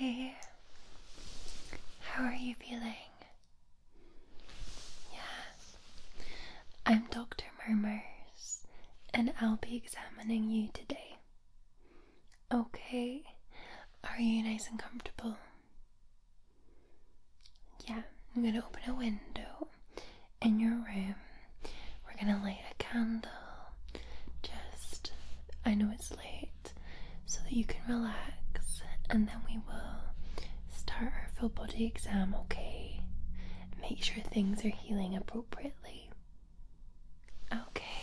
Hi. How are you feeling? Yeah. I'm Dr. Murmurs, and I'll be examining you today. Okay. Are you nice and comfortable? Yeah, I'm gonna open a window in your room. We're gonna light a candle. Just, I know it's late, so that you can relax, and then we will start our full body exam, okay? Make sure things are healing appropriately. Okay.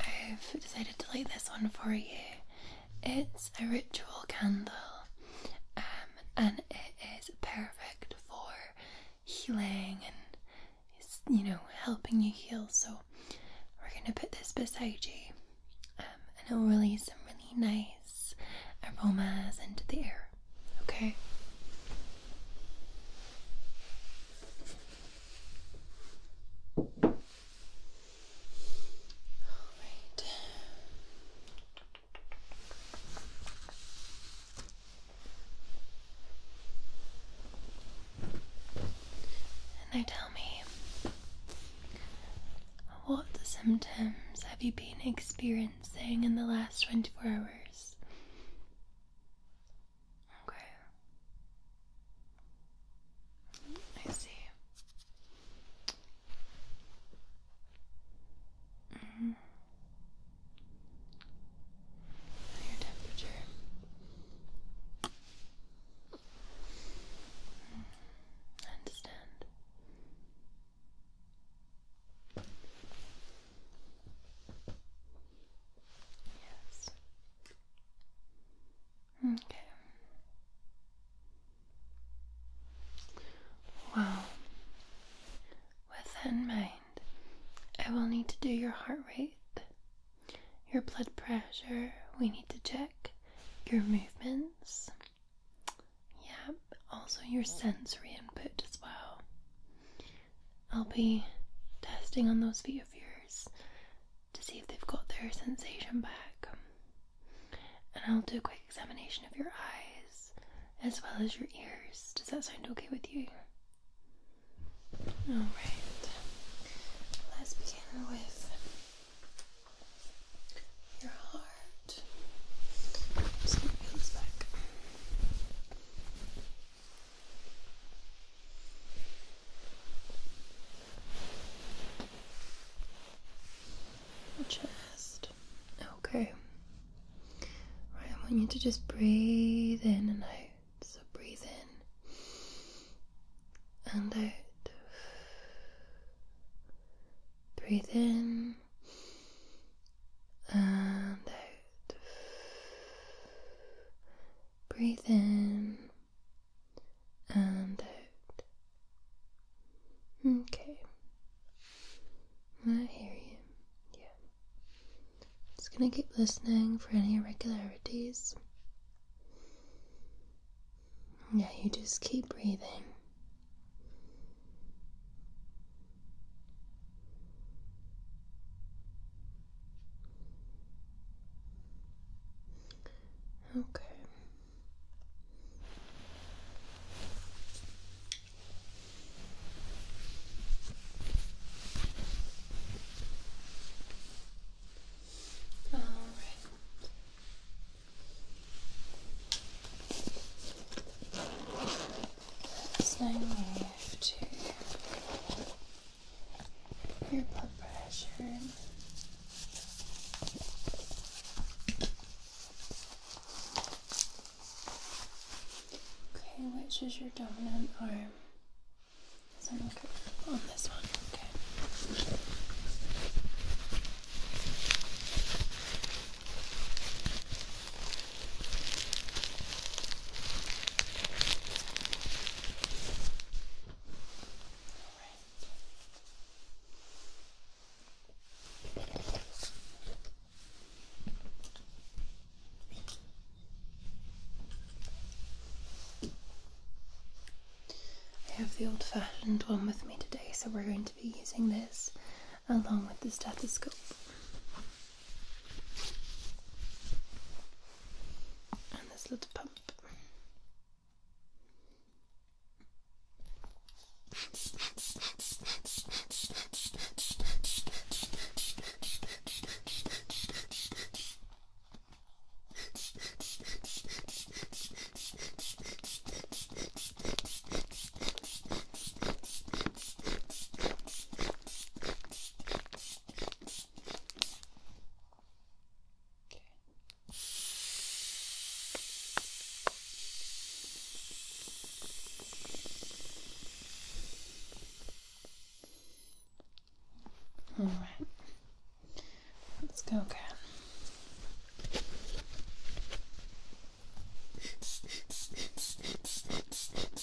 I've decided to light this one for you. It's a ritual candle um, and it is perfect for healing and it's, you know, helping you heal. So we're going to put this beside you um, and it'll release some really nice aromas into the air. Okay? Alright. And they tell me, what symptoms have you been experiencing in the last 24 hours? Okay. I see. Your mm-hmm. temperature. Mm-hmm. I understand. Yes. Okay. Wow. With that in mind, I will need to do your heart rate, your blood pressure, we need to check your movements, yeah, also your sensory input as well. I'll be testing on those feet of yours to see if they've got their sensation back. And I'll do a quick examination of your eyes as well as your ears. Does that sound okay with you? Alright, let's begin with your heart. Chest. Okay. Right, I want you to just breathe in and out. So breathe in and out. Breathe in and out. Breathe in and out. Okay. I hear you. Yeah. Just gonna keep listening for any irregularities. Yeah, you just keep breathing. Okay. All right. Same your blood pressure. Okay, which is your dominant arm? So I'm looking on this one, okay. I have the old fashioned one with me today, so we're going to be using this along with the stethoscope. And this little pump. Okay. All right. Let's go again.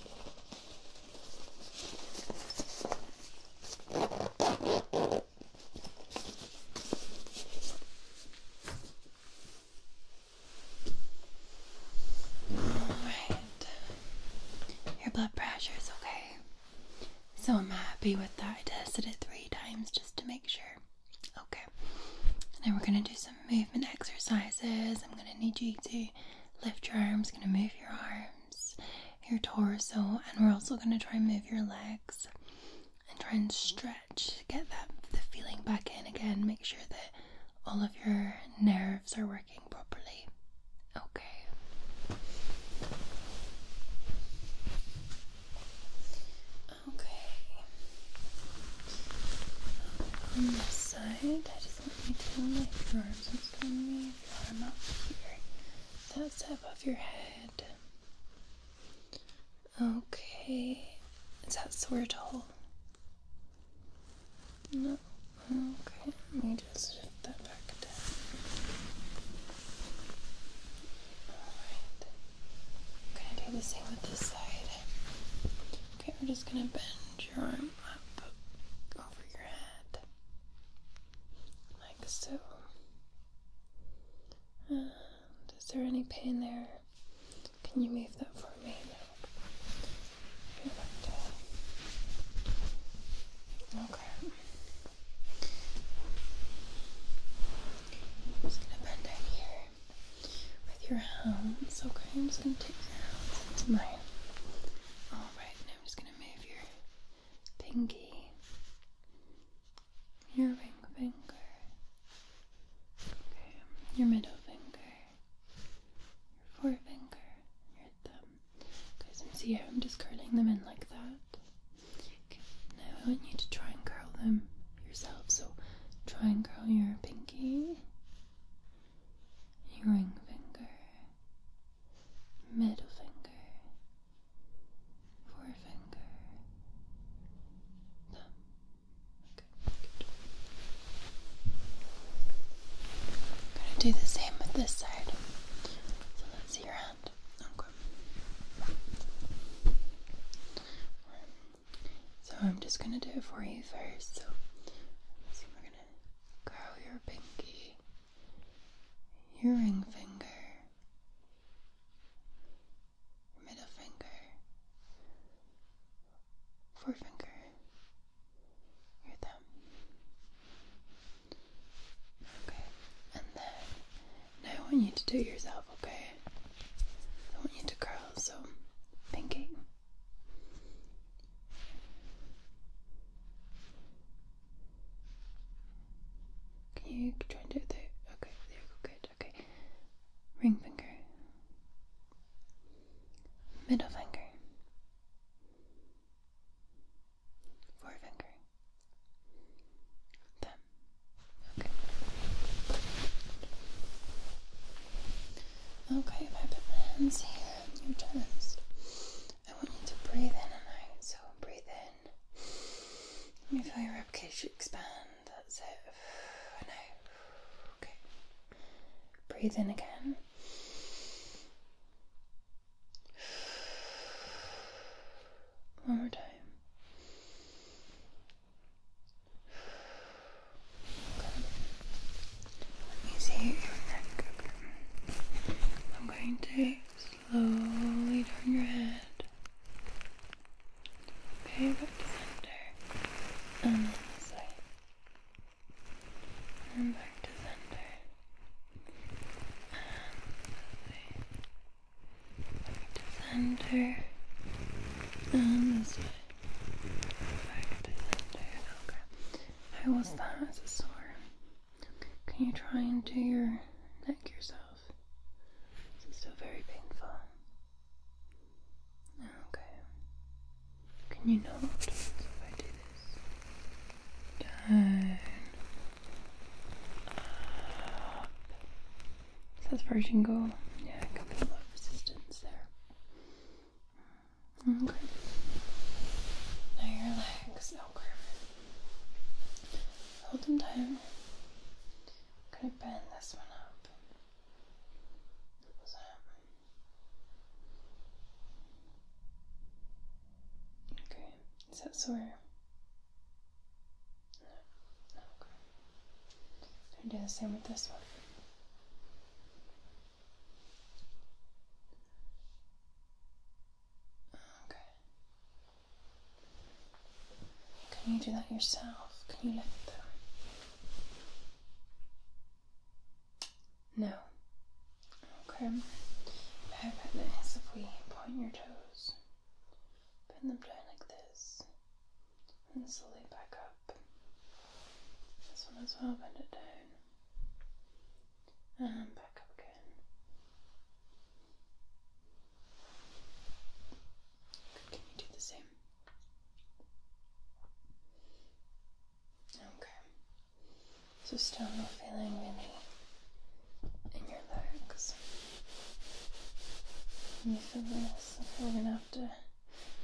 Alright. Your blood pressure is okay. So I'm happy with that. I tested it three times just to make sure. Okay. Now we're gonna do some movement exercises. I'm gonna need you to lift your arms, going to move your arms, your torso, and we're also going to try and move your legs and try and stretch, get that the feeling back in again. Make sure that all of your nerves are working properly. Okay. Okay. On this side, I just let me do lift your arms. It's going to move your arm up here. That's above your head. Okay. Is that sort whole? No. Okay. Let me just shift that back down. Alright. I'm going to do the same with this side. Okay, we're just going to bend your arm up over your head, like so. is there any pain there? Can you move that for me now? Okay. just gonna bend down here with your hands. Okay, I'm just gonna take your hands Alright, now I'm just going to move your pinky, your ring finger, your middle finger, your forefinger, your thumb. Okay, so see I'm just curling them in like that? now I want you to try and curl them yourself. So try and curl your pinky ring finger, middle finger, forefinger, Okay, I'm gonna do the same with this side. So let's see your hand. So I'm just gonna do it for you first. So we're gonna curl your pinky, your ring finger, middle finger, forefinger, your thumb. Okay, and then now I want you to do yourself, okay? I want you to curl, so pinky. Can you try and do it there? Okay, there you go, good. Okay. Ring finger. Middle finger. Forefinger. Thumb. Okay. Okay, if I put my hands here your chest. I want you to breathe in and out, so breathe in. Let me feel your ribcage expand. That's it. Okay. Breathe in again. One more time. Let me see your neck. Okay. I'm going to slowly turn your head. Okay, back to center. And then this side. And back to center. And back to center. And this way. Back to center. Okay. How was that? Is it sore? Can you try and do your neck yourself? It's still very painful? Okay. Can you not if I do this? Down. Up. Is that version go? Yeah, I can feel a lot of resistance there. Okay. Now your legs, okay. Oh, Hold them tight. i gonna bend this one up. Okay. Is that sore? No. okay. gonna do the same with this one. Can you do that yourself? Can you lift it? No. Okay. How about this if we point your toes, bend them down like this, and slowly back up. This one as well, bend it down and um, back up again. can you do the same? Okay. So still no feeling any in your legs. you feel this? Okay, we're gonna have to.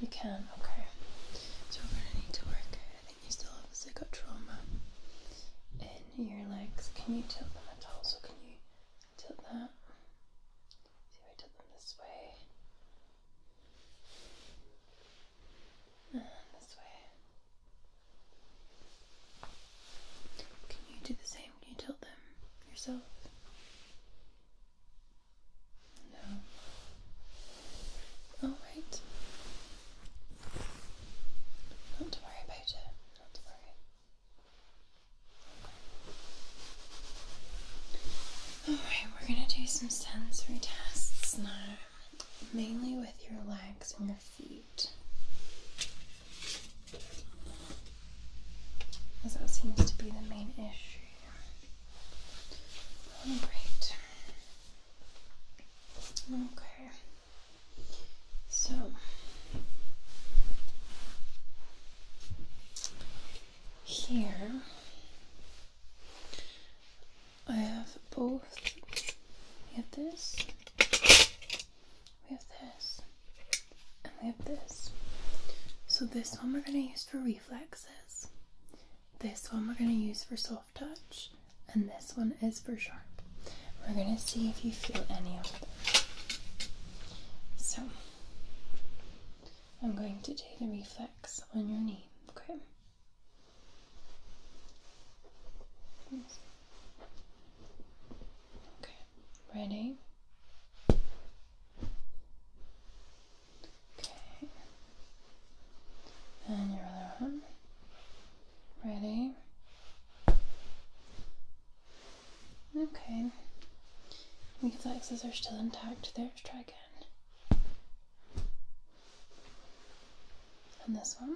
You can. Okay. So we're gonna need to work I think you still obviously got trauma in your legs. Can you tilt them at all? So can you tilt that? See I tilt them this way. And this way. Can you do the same? Can you tilt them yourself? No. Alright. Not to worry about it. Not to worry. Alright, we're going to do some sensory tests now, mainly with your legs and your feet. As that seems to be the main issue. Oh, Alright. Okay. So here I have both. We have this, we have this, and we have this. So this one we're going to use for reflexes. This one we're going to use for solfege touch and this one is for sharp. We're going to see if you feel any of them. So, I'm going to do the reflex on your knee, okay? Okay, ready? Okay, and your other arm. Ready? Okay. Reflexes are still intact. There's try again. And this one.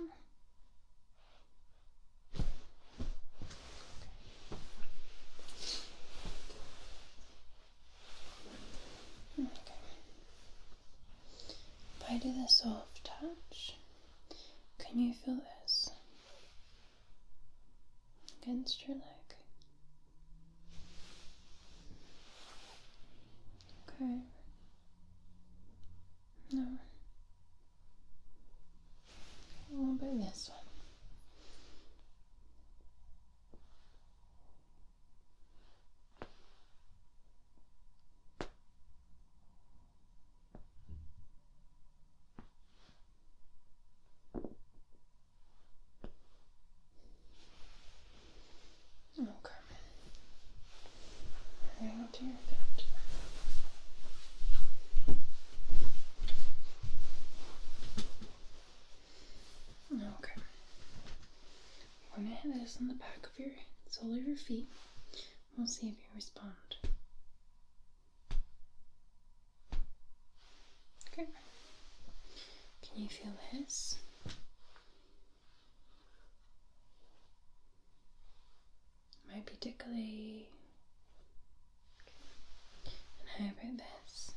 Okay. Hmm, if I do the soft touch, can you feel this against your leg? Okay. No. What about this one? Okay. Now to your bed. Okay. We're gonna hit this on the back of your sole of your feet. We'll see if you respond. Okay. Can you feel this? Might be tickly. And how about this?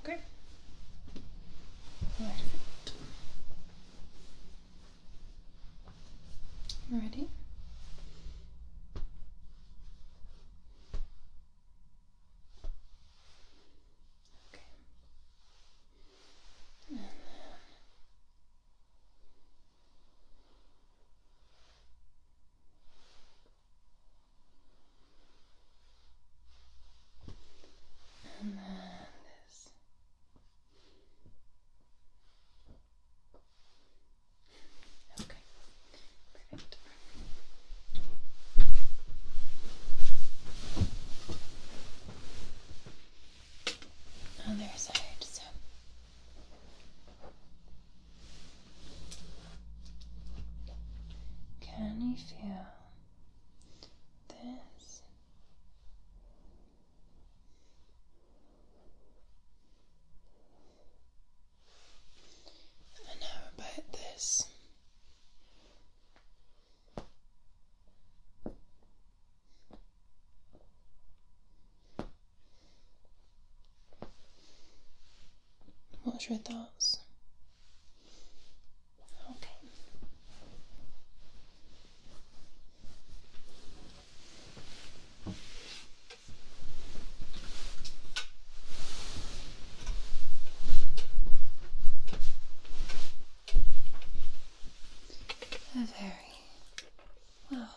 Okay. Perfect. Ready? Okay. And Okay, perfect. Oh, side, so. Can you feel this and how about this? What's your thoughts? Okay. Very well.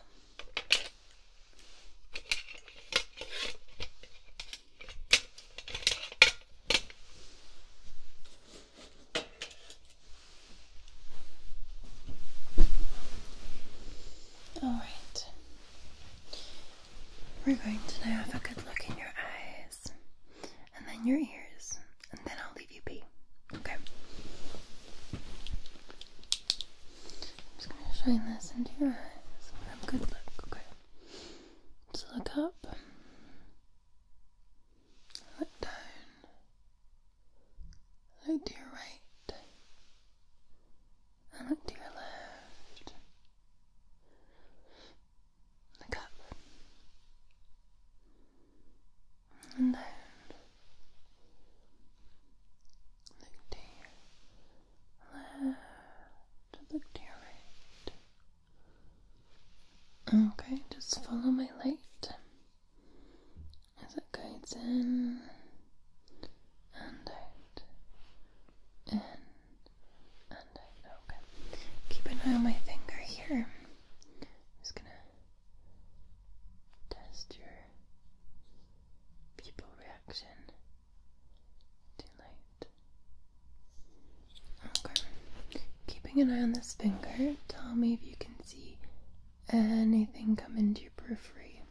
All right. We're going to now have a good look in your eyes and then your ears, and then I'll leave you be. Okay. I'm just going to shine this into your eyes for a good look. Okay. Let's look up, look down, look to your right, and look to your left. Look up and down. Look to your left, look to your right. Okay, just follow my light as it guides in and out, in and out. Okay, keep an eye on my finger here. just gonna test your pupil reaction to light. Okay. Keeping an eye on this finger, tell me if you can see anything come into your periphery.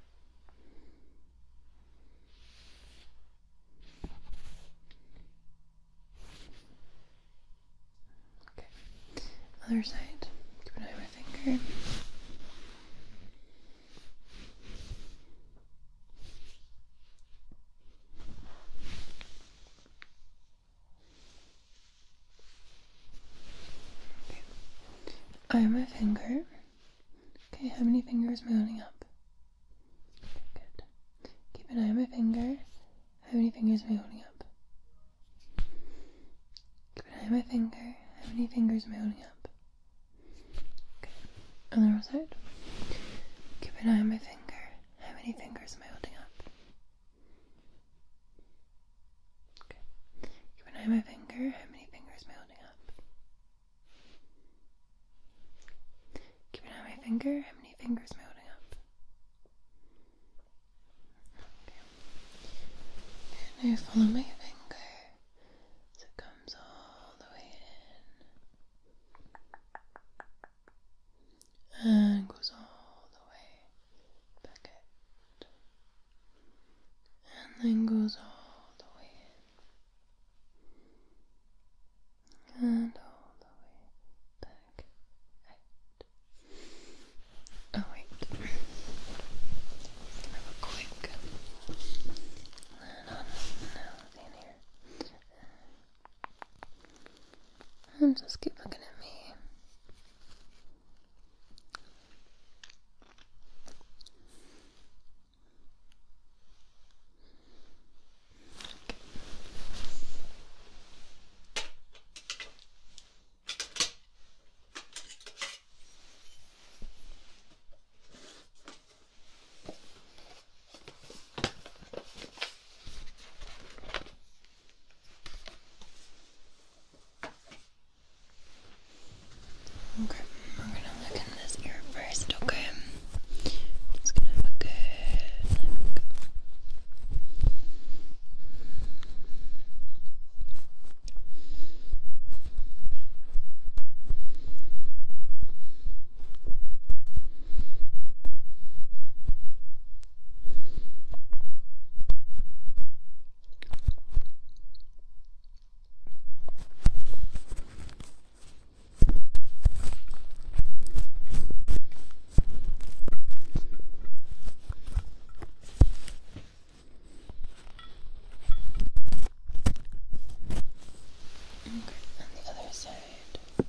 Okay. Other side. Keep an eye on my finger. Okay. I am a finger. Okay, how many fingers am I holding up? good. Keep an eye on my finger. How many fingers am I holding up? Keep an eye on my finger. How many fingers am I holding up? Okay. On the other side. Keep an eye on my finger. How many fingers am I holding up? Okay. Keep an eye my finger. How many fingers am I holding up? Keep an eye my finger. How many fingers am I holding up? Okay. Now follow my finger as it comes all the way in and goes all the way back and then goes all the way and all the way back Oh, wait, have a quick. And just keep looking at me. Okay, we're gonna look in this ear first, okay? Just gonna have a good look. Okay. Okay, on the other side. Okay.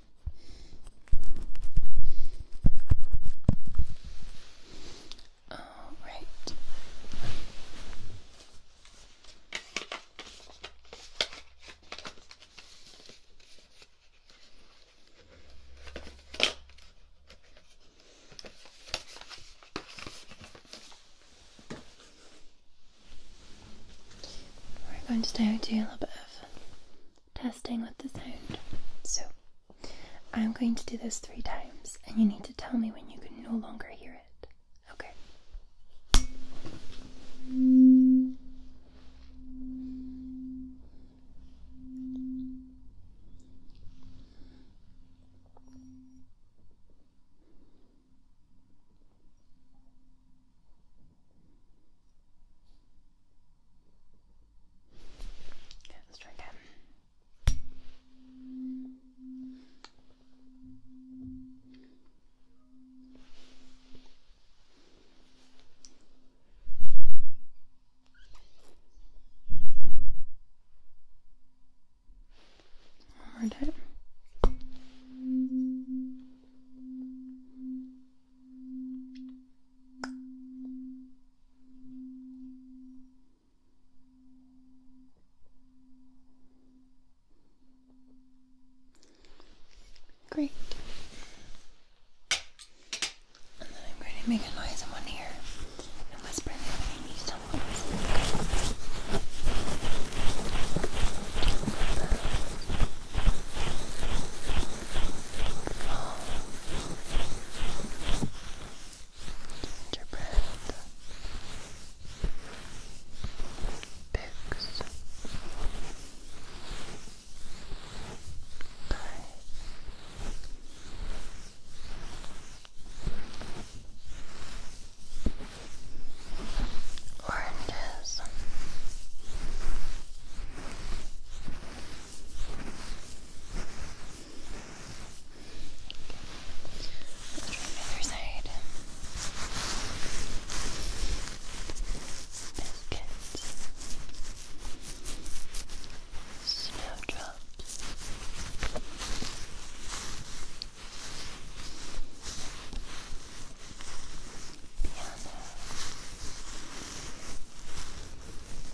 All right. We're going to do a little bit of testing with the sound. So I'm going to do this three times, and you need to tell me when you can no longer hear it. Okay. Okay, let's try again. One more time. Okay, Great. And then I'm going to make a noise in one ear and whisper in the other when I need someone. Fall Gingerbread Picks Pie Oranges Let's try the other side. Biscuits. Snowdrops. Piano.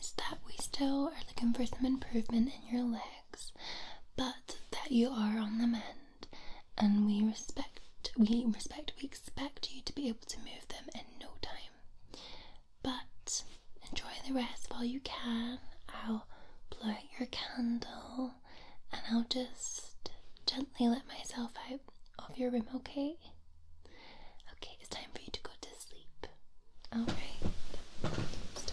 Is that we still are looking for some improvement in your legs, but that you are on the mend, and we respect, we respect, we expect you to be able to move them in no time. But enjoy the rest while you can. I'll blow out your candle, and I'll just gently let myself out of your room. Okay. Okay, it's time for you to go to sleep. Alright. Just it.